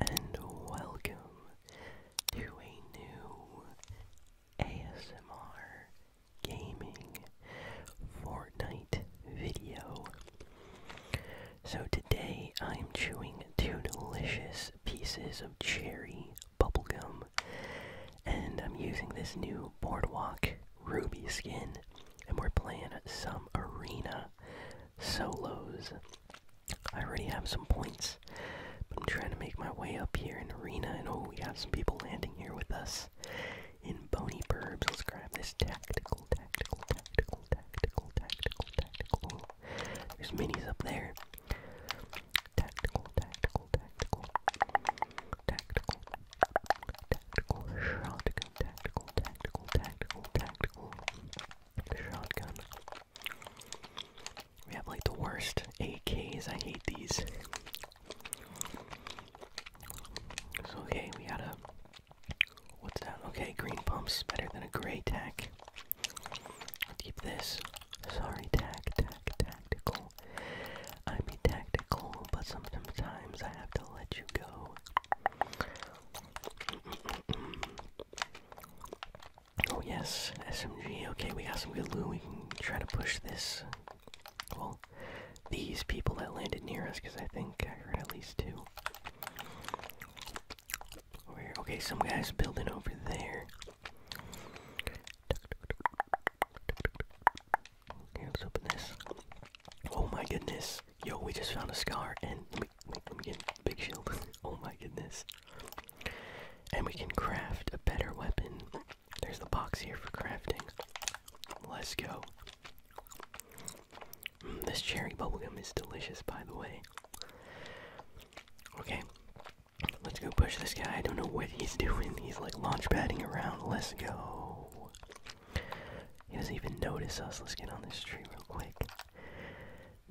and welcome to a new ASMR gaming Fortnite video. So today I'm chewing two delicious pieces of cherry bubblegum and I'm using this new Boardwalk Ruby skin and we're playing some arena solos. I already have some points, but I'm trying to make my way up here in arena. And oh, we have some people landing here with us in bony burbs. Let's grab this tactical, tactical, tactical, tactical, tactical, tactical. There's minis up there. Tactical, tactical, tactical, tactical, tactical shotgun, tactical, tactical, tactical, tactical shotgun. We have like the worst AKs. I hate these. okay, we got a. What's that? Okay, green pumps better than a gray tack. keep this. Sorry, tack, tack, tactical. I be tactical, but sometimes I have to let you go. Oh yes, SMG. Okay, we got some good loot. We can try to push this. Well, these people that landed near us, because I think I heard at least two. Okay, some guy's building over there. Okay, let's open this. Oh my goodness. Yo, we just found a scar and let me, get big shield. oh my goodness. And we can craft a better weapon. There's the box here for crafting. Let's go. Mm, this cherry bubblegum is delicious, by the way. Okay, let's go push this guy. I don't know what he's doing. He's like launch padding around. Let's go. He doesn't even notice us. Let's get on this tree real quick.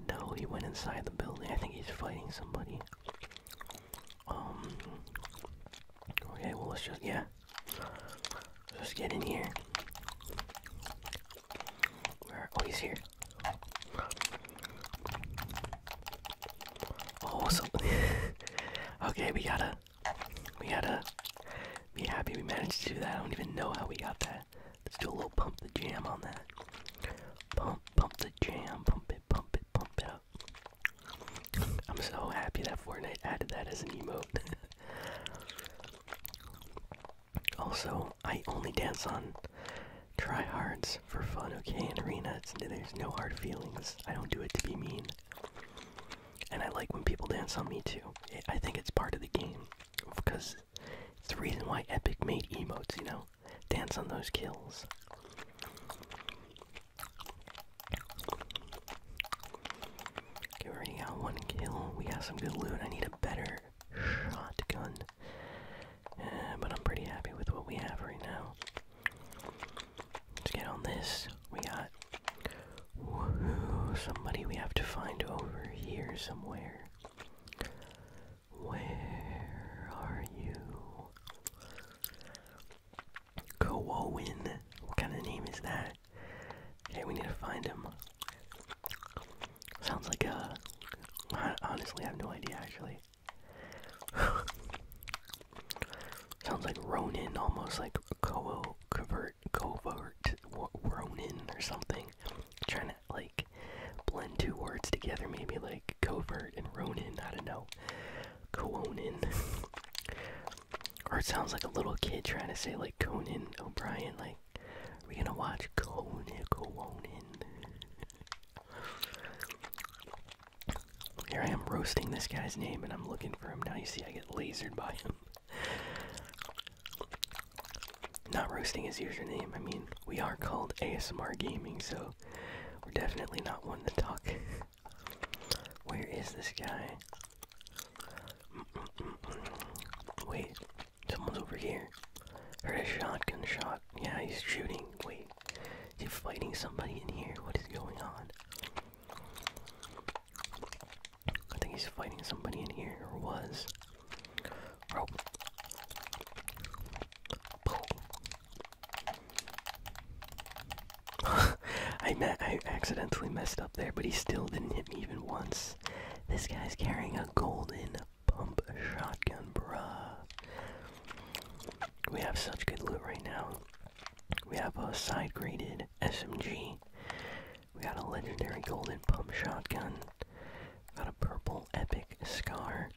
No, he went inside the building. I think he's fighting somebody. Um. Okay, well, let's just, yeah. Let's get in here. Oh, he's here. Oh, so. okay, we gotta. We gotta be happy we managed to do that. I don't even know how we got there. Let's do a little pump the jam on that. Pump, pump the jam, pump it, pump it, pump it up. I'm so happy that Fortnite added that as an emote. also, I only dance on tryhards for fun, okay? In Arena, it's, there's no hard feelings. I don't do it to be mean. And I like when people dance on me too. I think it's part of the game because it's the reason why Epic made emotes, you know? Dance on those kills. we already got one kill. We got some good loot. I need a better shotgun. Eh, but I'm pretty happy with what we have right now. Let's get on this. We got. Somebody we have to find over here somewhere. Where are you? Kowoin. What kind of name is that? Okay, we need to find him. Sounds like a. Honestly, I have no idea actually. Sounds like Ronin, almost like covert, covert, Ronin or something. I'm like blend two words together, maybe like covert and Ronin. I don't know, Conan. or it sounds like a little kid trying to say like Conan O'Brien. Like, are we gonna watch Conan? Conan. Here I am roasting this guy's name, and I'm looking for him. Now you see, I get lasered by him. Not roasting his username. I mean, we are called ASMR Gaming, so we're definitely not one to talk. Where is this guy? Mm -mm -mm -mm. Wait, someone's over here. Heard a shotgun shot. Yeah, he's shooting. Wait, he's fighting somebody in here? What is going on? I think he's fighting somebody in here, or was. I, accidentally messed up there, but he still didn't hit me even once. This guy's carrying a golden pump shotgun, bruh. We have such good loot right now. We have a side graded SMG. We got a legendary golden pump shotgun. Got a purple epic scar.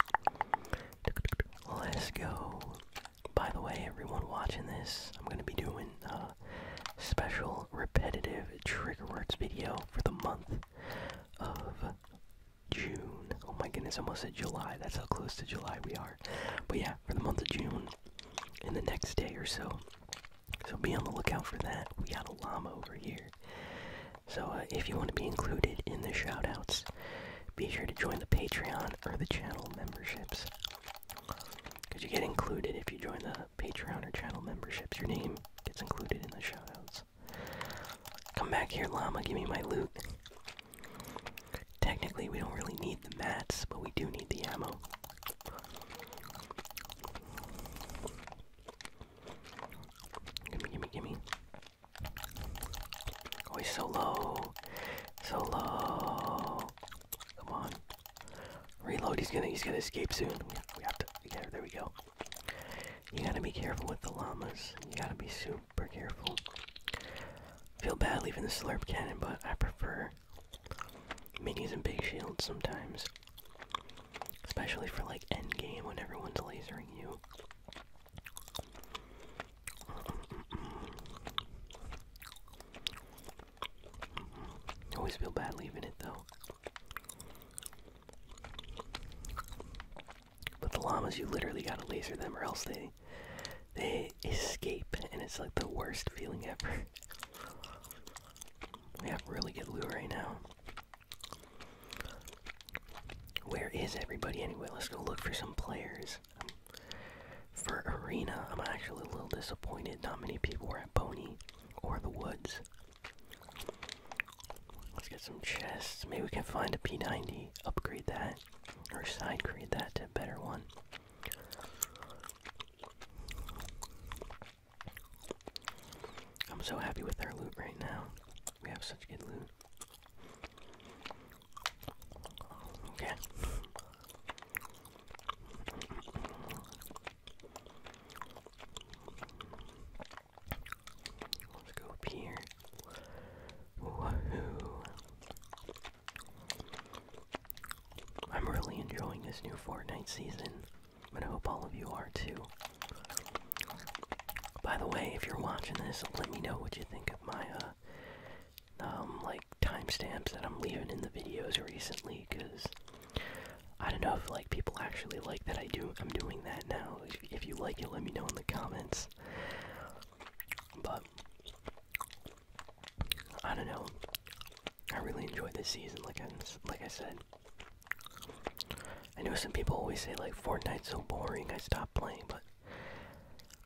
Let's go. By the way, everyone watching this, I'm gonna be doing a special repetitive trigger words video for the month of June. Oh my goodness, almost at July. That's how close to July we are. But yeah, for the month of June, in the next day or so. So be on the lookout for that. We got a llama over here. So uh, if you want to be included in the shoutouts, be sure to join the Patreon or the channel memberships. Because you get included if you join the Patreon or channel memberships. Your name gets included in the shoutouts. Come back here, llama. Give me my loot. Technically, we don't really need the mats, but we do need the ammo. Gimme, gimme, gimme. Oh, he's so low. So low. Come on. Reload. He's gonna he's gonna escape soon. We, we have to yeah, there we go. You gotta be careful with the llamas. You gotta be super careful. Feel bad leaving the slurp cannon, but I prefer minis and big shields sometimes. Especially for like end game when everyone's lasering you. I always feel bad leaving it though. But the llamas, you literally gotta laser them, or else they they escape, and it's like the worst feeling ever. We have really good loot right now. Where is everybody anyway? Let's go look for some players. for Arena, I'm actually a little disappointed. Not many people were at Pony or the Woods. Let's get some chests. Maybe we can find a P90, upgrade that, or side grade that to a better one. I'm so happy with our loot right now. We have such good loot. Okay. Let's go up here. Woohoo! I'm really enjoying this new Fortnite season and I hope all of you are too. By the way, if you're watching this, let me know what you think of my uh, um, like timestamps that I'm leaving in the videos recently, because I don't know if like people actually like that I do. I'm doing that now. If, if you like it, let me know in the comments. But I don't know. I really enjoyed this season, like I like I said. I know some people always say like Fortnite's so boring, I stopped playing, but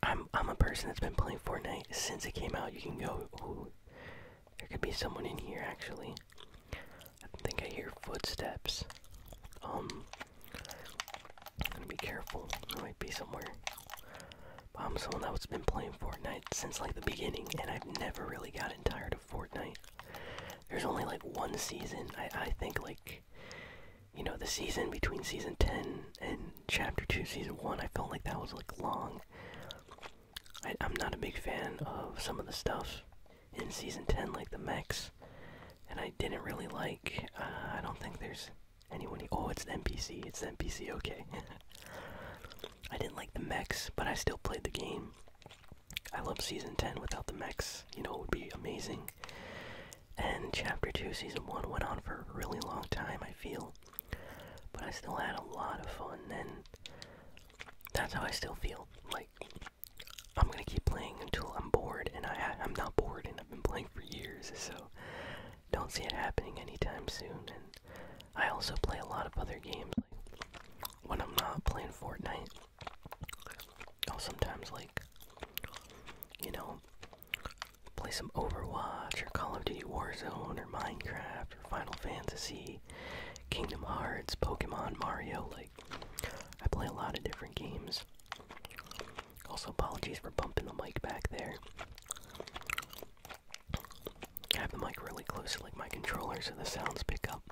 I'm I'm a person that's been playing Fortnite since it came out. You can go. there could be someone in here actually. I think I hear footsteps. Um, I'm gonna be careful. There might be somewhere. But I'm someone that's been playing Fortnite since like the beginning, and I've never really gotten tired of. Fortnite. There's only like one season. I I think like you know the season between season 10 and chapter 2 season 1 i felt like that was like long I, am not a big fan of some of the stuff in season 10 like the mechs and i didn't really like uh, i don't think there's anyone oh it's the npc it's the npc okay i didn't like the mechs but i still played the game I love season 10 without the mechs, you know, it would be amazing. And chapter 2, season 1 went on for a really long time, I feel. But I still had a lot of fun, and that's how I still feel. Like, I'm gonna keep playing until I'm bored, and I, I'm not bored, and I've been playing for years, so don't see it happening anytime soon. And I also play a lot of other games. Like, when I'm not playing Fortnite, I'll sometimes like, you know, play some Overwatch or Call of Duty Warzone or Minecraft or Final Fantasy, Kingdom Hearts, Pokemon, Mario. Like, I play a lot of different games. Also, apologies for bumping the mic back there. I have the mic really close to like my controller so the sounds pick up.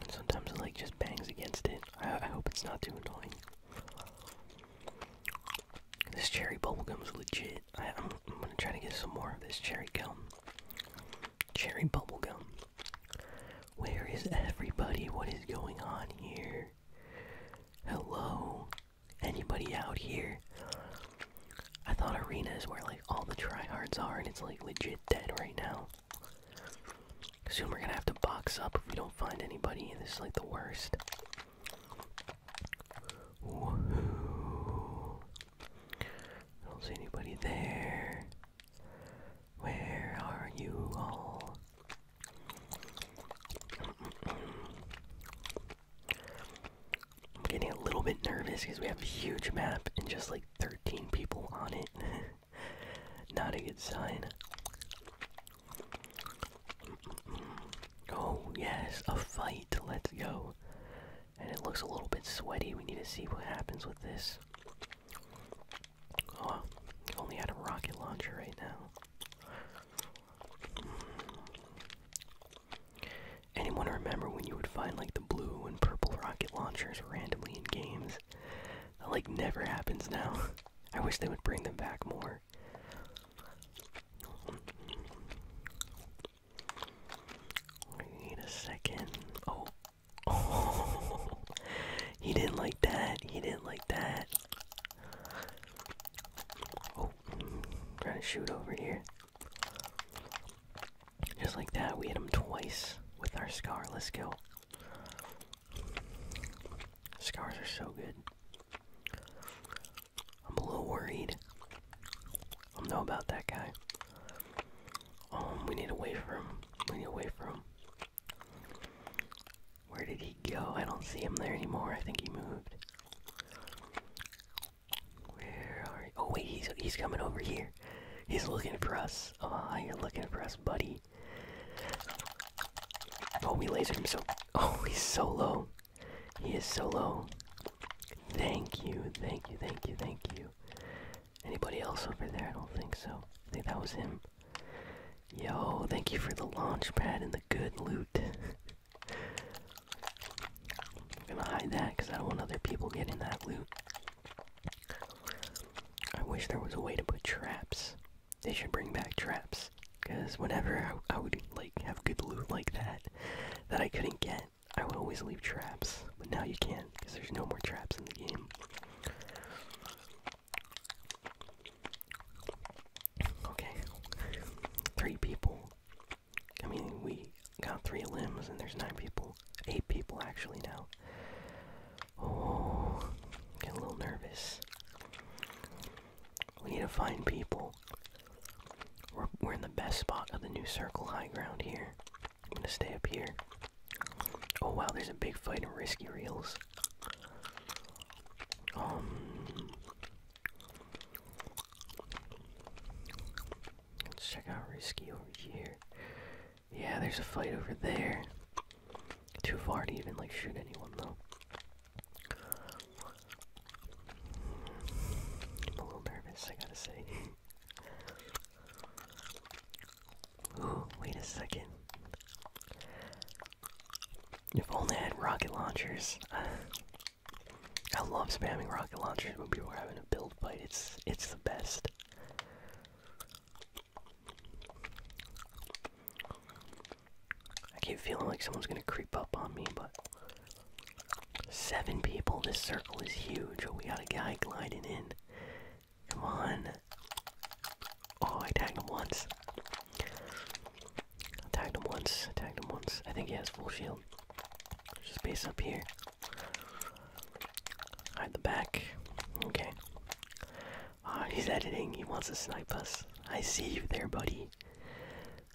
And sometimes the like just bangs against it. I, hope it's not too annoying. This cherry bubble gum is legit. I'm gonna try to get some more of this cherry gum. Cherry bubble gum. Where is everybody? What is going on here? Hello? Anybody out here? I thought Arena is where like all the tryhards are, and it's like legit dead right now. Soon we're gonna have to box up if we don't find anybody, and this is like the worst. don't see anybody there. Where are you all? I'm getting a little bit nervous because we have a huge map and just like 13 people on it. Not a good sign. Oh, yes, a fight. Let's go. And it looks a little bit sweaty. We need to see what happens with this. Oh, only had a rocket launcher right now. Anyone remember when you would find like the blue and purple rocket launchers randomly in games? That like never happens now. I wish they would bring them back more. Wait a second. Oh. He didn't like that. He didn't like that. Oh. Trying to shoot over here. Just like that, we hit him twice with our Scar. Let's go. Scars are so good. I'm a little worried. I don't know about that guy. Um, we need away from him. We need away from him. Where did he go? I don't see him there anymore. I think he moved. Where are you? Oh wait, he's he's coming over here. He's looking for us. Ah, you're looking for us, buddy. Oh, we lasered him so. Oh, he's so low. He is so low. Thank you, thank you, thank you, thank you. Anybody else over there? I don't think so. I think that was him. Yo, thank you for the launch pad and the good loot. I'm gonna hide that because I don't want other people getting that loot. I wish there was a way to put traps. They should bring back traps. Because whenever I, would like have good loot like that that I couldn't get, I would always leave traps. But now you can, not because there's no more traps in the game. Okay. Three people. I mean, we got three limbs, and there's nine people, eight people actually now. Oh, get a little nervous. We need to find people. We're, we're in the best spot of the new circle high ground here. I'm gonna stay up here. Oh wow, there's a big fight in Risky Reels. Um, Let's check out Risky over here. Yeah, there's a fight over there. Too far to even like shoot anyone though. I'm a little nervous, I gotta say. wait a second. If only had rocket launchers. I love spamming rocket launchers when people are having a build fight. It's it's the best. I keep feeling like someone's gonna creep up on me, but seven people. This circle is huge. Oh, we got a guy gliding in. Come on. Oh, I tagged him once. tagged him once. tagged him once. I think he has full shield down. There's space up here. Hide the back. Okay. Ah, he's editing. He wants to snipe us. I see you there, buddy.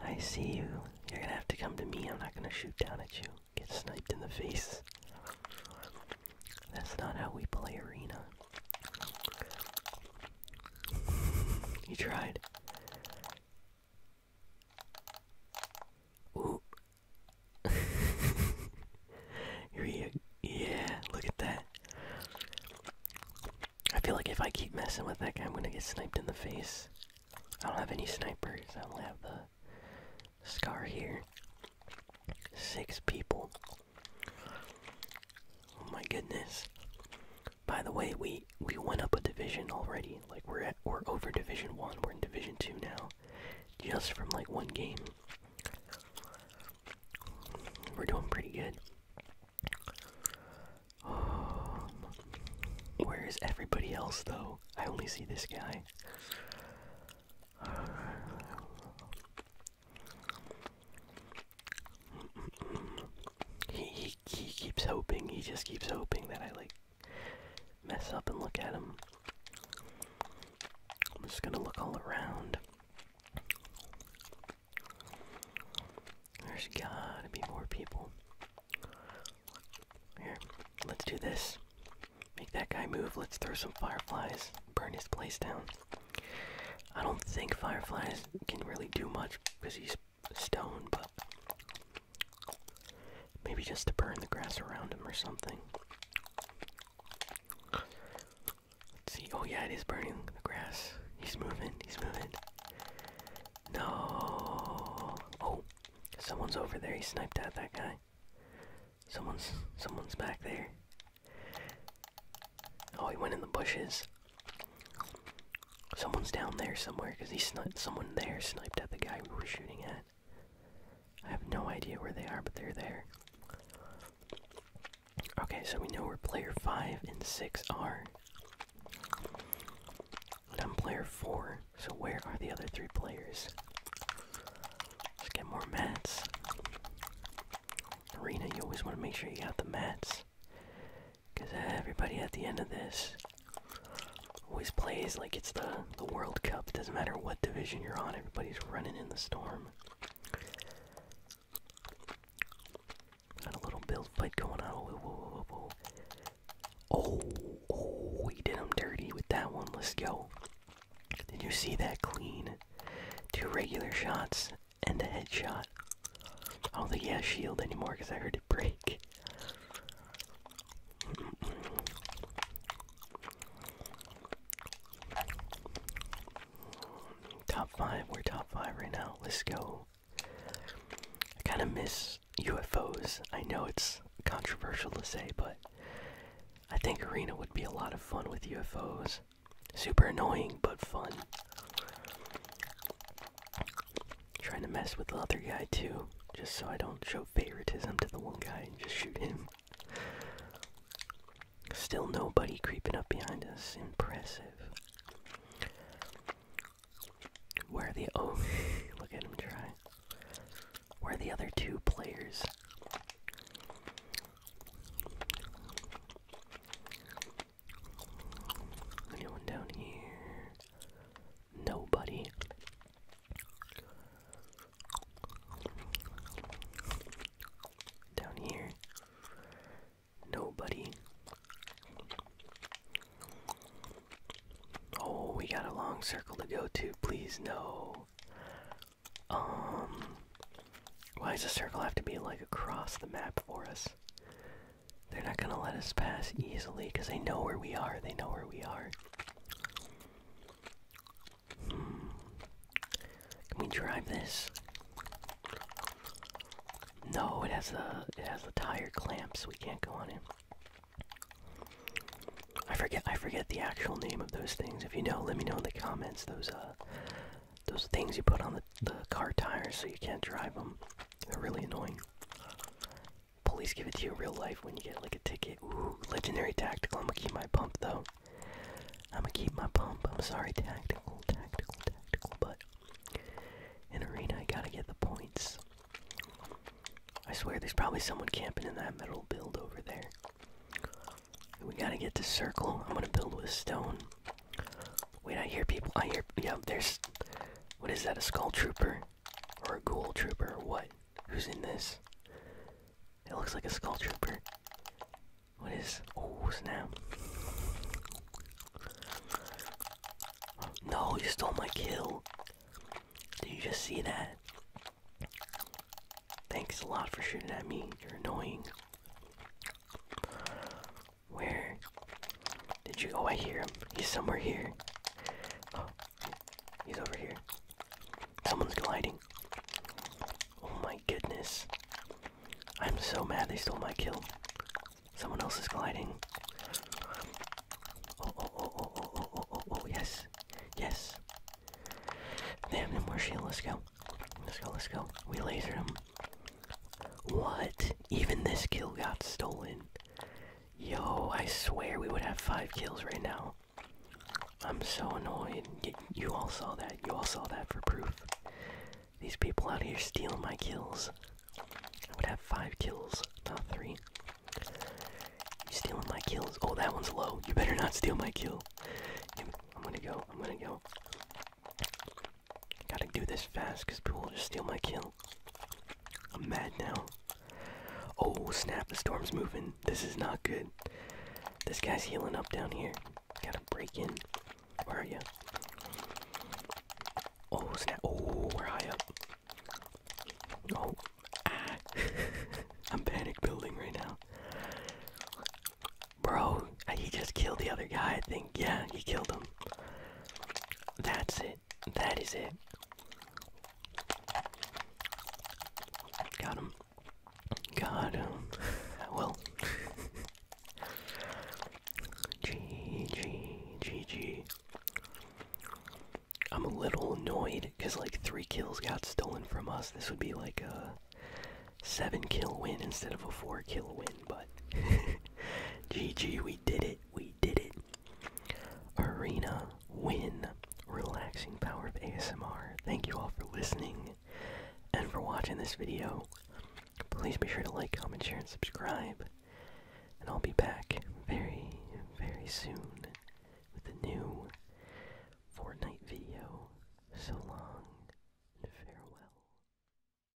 I see you. You're gonna have to come to me. I'm not gonna shoot down at you. Get sniped in the face. That's not how we play arena. You tried. Ooh. yeah, look at that. I feel like if I keep messing with that guy, I'm gonna get sniped in the face. I don't have any snipers. I only have the scar here. Six people. Oh my goodness. By the way, we we went up a division already. Like we're at we're over division one. We're in division two now, just from like one game. We're doing pretty good. where is everybody else though? I only see this guy. he he keeps hoping. He just keeps hoping that I like mess up and look at them. I'm just gonna look all around. There's gotta be more people. Here, let's do this. Make that guy move. Let's throw some fireflies. Burn his place down. I don't think fireflies can really do much because he's stone, but maybe just to burn the grass around him or something. see. Oh, yeah, it is burning the grass. He's moving, he's moving. No. Oh, someone's over there. He sniped at that guy. Someone's someone's back there. Oh, he went in the bushes. Someone's down there somewhere because he sniped. Someone there sniped at the guy we were shooting at. I have no idea where they are, but they're there. Okay, so we know where player 5 and 6 are. And I'm player 4, so where are the other three players? Let's get more mats. Arena, you always want to make sure you got the mats. Because everybody at the end of this always plays like it's the, the World Cup. doesn't matter what division you're on, everybody's running in the storm. Got a little build fight going on. oh, we oh, did him dirty with that one. Let's go. Did you see that clean? Two regular shots and a headshot. I don't shield anymore because I heard break. top five, we're top five right now. Let's go. I kind of miss UFOs. I know it's controversial to say, but I think Arena would be a lot of fun with UFOs. Super annoying, but fun. Trying to mess with the other guy too, just so I don't show favoritism to the one guy and just shoot him. Still nobody creeping up behind us. Impressive. Where are the oh look at him try. Where the other two players? Anyone down here? Nobody. Down here? Nobody. Oh, we got a long circle to go to. Please, no. Um. Why does a circle have to be like across the map for us? They're not gonna let us pass easily because they know where we are. They know where we are. Hmm. Can we drive this? No, it has the it has the tire clamps. We can't go on it. I forget I forget the actual name of those things. If you know, let me know in the comments. Those uh those things you put on the the car tires so you can't drive them. They're really annoying. Police give it to you in real life when you get like a ticket. legendary tactical. I'm gonna keep my pump though. I'm gonna keep my pump. I'm sorry, tactical, tactical, tactical, but in arena I gotta get the points. I swear there's probably someone camping in that metal build over there. We gotta get to circle. I'm gonna build with stone. Wait, I hear people. I hear. Yeah, there's. What is that? A skull trooper? Or a ghoul trooper? Or what? Who's in this? It looks like a skull trooper. What is. Oh, snap. No, you stole my kill. Did you just see that? Thanks a lot for shooting at me. You're annoying. Where did you? Oh, I hear him. He's somewhere here. Oh, he's over here. Someone's gliding. Oh my goodness. I'm so mad they stole my kill. Someone else is gliding. Oh, oh, oh, oh, oh, oh, oh, oh, oh, yes. Yes. Damn, no more shield. Let's go. Let's go, let's go. We laser him. What? Even this kill got stolen. Yo, I swear we would have five kills right now. I'm so annoyed. you all saw that. You all saw that for proof. These people out here stealing my kills. I would have five kills, not three. stealing my kills? Oh, that one's low. You better not steal my kill. I'm gonna go. I'm gonna go. Gotta do this fast because people will just steal my kill. I'm mad now. Oh snap, the storm's moving. This is not good. This guy's healing up down here. Gotta break in. Where are you? Oh snap. Oh, we're high up. Oh. Ah. I'm panic building right now. Bro, he just killed the other guy, I think. Yeah, he killed him. That's it. That is it. Got him. Got him. well. G G G G. I'm a little annoyed because like three kills got stolen from us. This would be like a seven kill win instead of a four kill win but GG, we did it. We did it. Arena win. Relaxing power of ASMR. Thank you all for listening and for watching this video. Please be sure to like, comment, share, and subscribe. And I'll be back very, very soon with a new Fortnite video. So long and farewell.